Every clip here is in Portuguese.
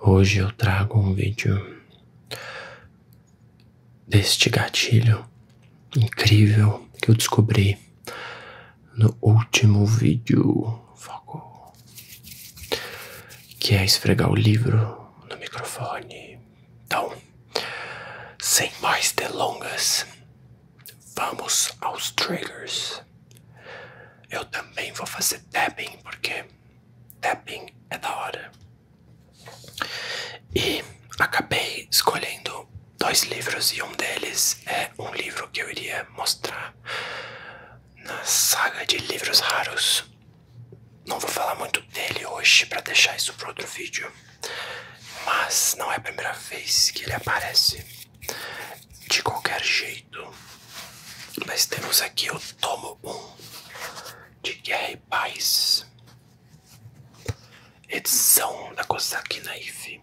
Hoje eu trago um vídeo deste gatilho incrível que eu descobri no último vídeo, foco, que é esfregar o livro no microfone. Então, sem mais delongas, vamos aos triggers. Eu também vou fazer tapping, porque tapping é da hora. E acabei escolhendo dois livros, e um deles é um livro que eu iria mostrar na saga de livros raros não vou falar muito dele hoje para deixar isso para outro vídeo. Mas não é a primeira vez que ele aparece. De qualquer jeito. Mas temos aqui o tomo 1 de Guerra e Paz. Edição da Kosaki Naive.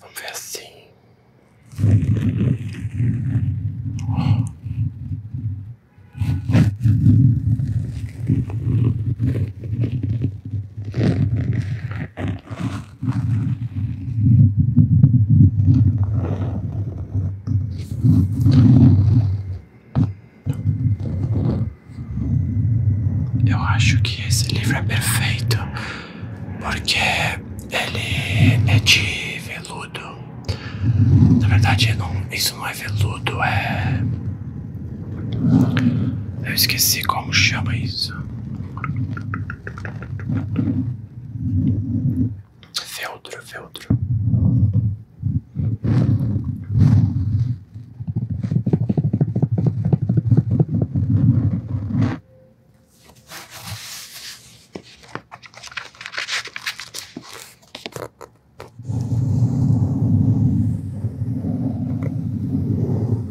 Vamos ver assim. Oh. Eu acho que esse livro é perfeito porque ele é de veludo. Na verdade, não, isso não é veludo, é. Eu esqueci como chama isso. Feltro, feltro.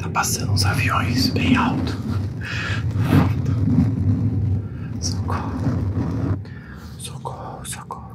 Tá passando uns aviões bem alto. Socorro. Socorro, socorro.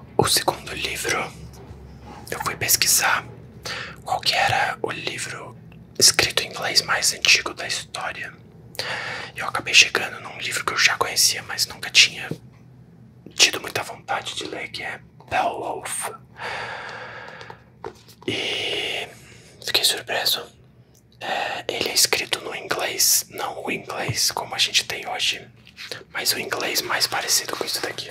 O segundo livro, eu fui pesquisar qual que era o livro escrito em inglês mais antigo da história. Eu acabei chegando num livro que eu já conhecia, mas nunca tinha tido muita vontade de ler, que é Beowulf. E fiquei surpreso. É, ele é escrito no inglês, não o inglês como a gente tem hoje, mas o inglês mais parecido com isso daqui.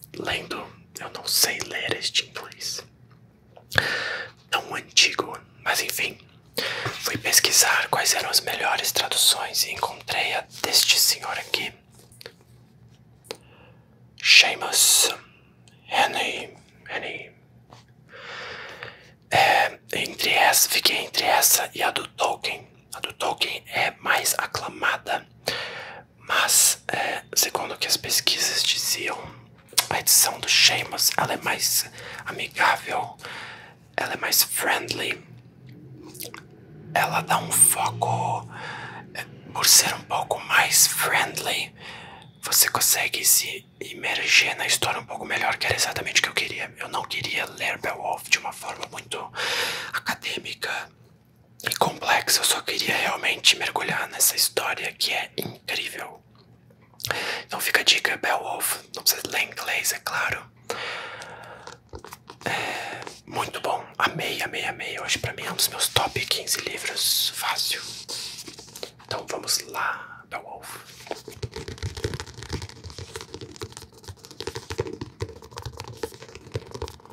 lendo, eu não sei ler este inglês tão é antigo, mas enfim, fui pesquisar quais eram as melhores traduções e encontrei a deste senhor aqui, Seamus Henry. Henry. É, entre essa, fiquei entre essa e a do Tolkien. A do Tolkien é mais aclamada, mas, é, segundo o que as pesquisas diziam, a edição do Sheamus ela é mais amigável, ela é mais friendly, ela dá um foco. É, por ser um pouco mais friendly, você consegue se imergir na história um pouco melhor, que era exatamente o que eu queria. Eu não queria ler Beowulf de uma forma muito acadêmica e complexo. Eu só queria realmente mergulhar nessa história que é incrível. Então fica a dica, Beowulf. Não precisa ler inglês, é claro. É, muito bom. Amei, amei, amei. Hoje pra mim é um dos meus top 15 livros. Fácil. Então vamos lá, Beowulf.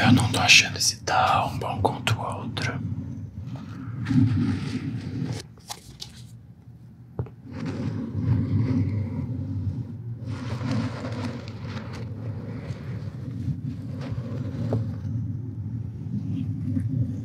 Eu não tô achando esse um bom contra o outro.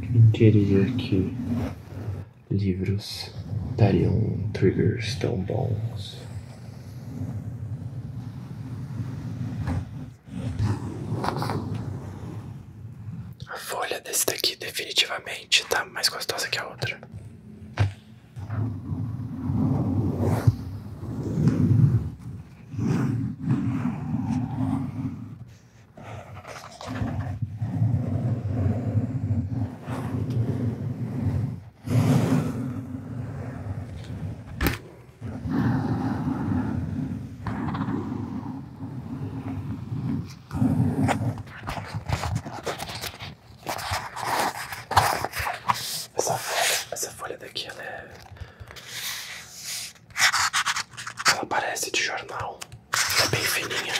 Quem diria que livros dariam triggers tão bons? A folha desse daqui definitivamente tá mais gostosa que a outra. Essa, essa folha daqui ela é ela parece de jornal, é bem fininha.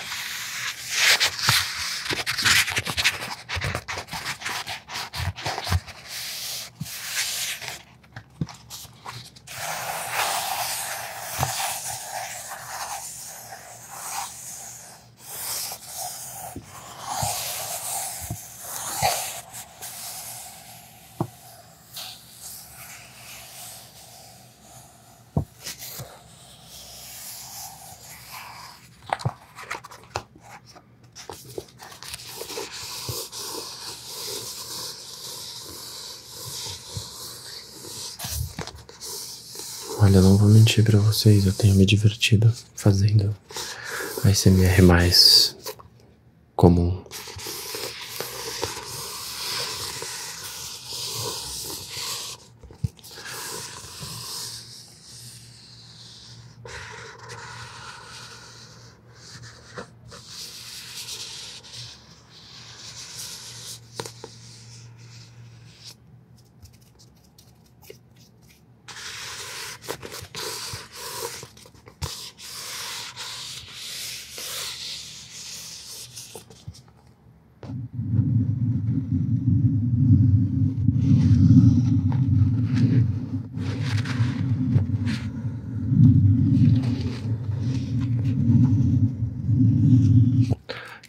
Olha, não vou mentir para vocês, eu tenho me divertido fazendo ASMR mais comum.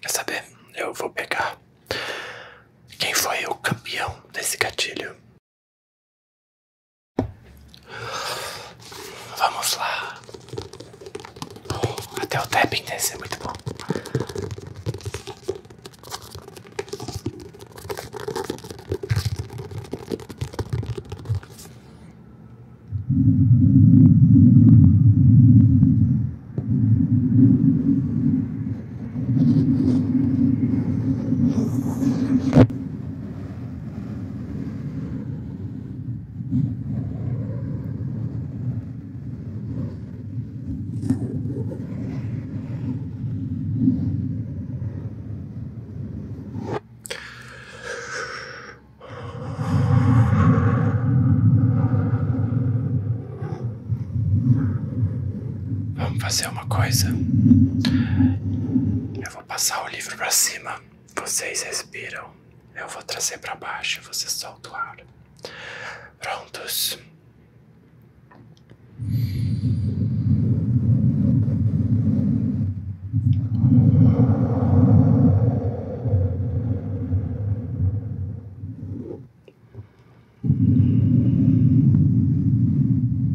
Quer saber? Eu vou pegar quem foi o campeão desse gatilho Vamos lá. até o tapping desse é muito bom. Vamos fazer uma coisa. Eu vou passar o livro para cima. Vocês respiram. Eu vou trazer para baixo. Você solta o ar. Prontos.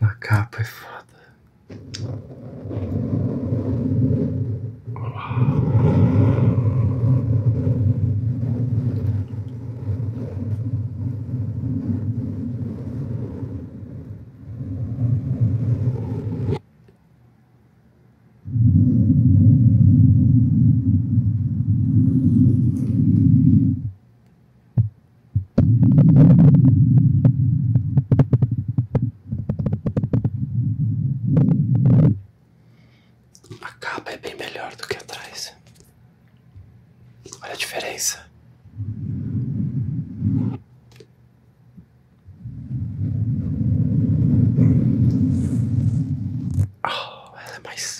Uma capa é foda. Acaba é bem melhor do que atrás. Olha a diferença. Oh, ela é mais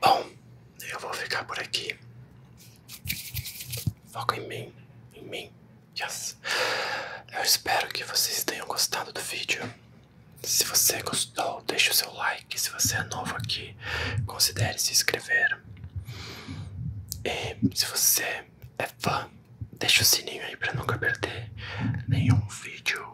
Bom, eu vou ficar por aqui. Foca em mim, em mim, Yes. Eu espero que vocês tenham gostado do vídeo. Se você gostou, deixe o seu like. Se você é novo aqui, considere se inscrever. E se você é fã, deixe o sininho aí para nunca perder nenhum vídeo.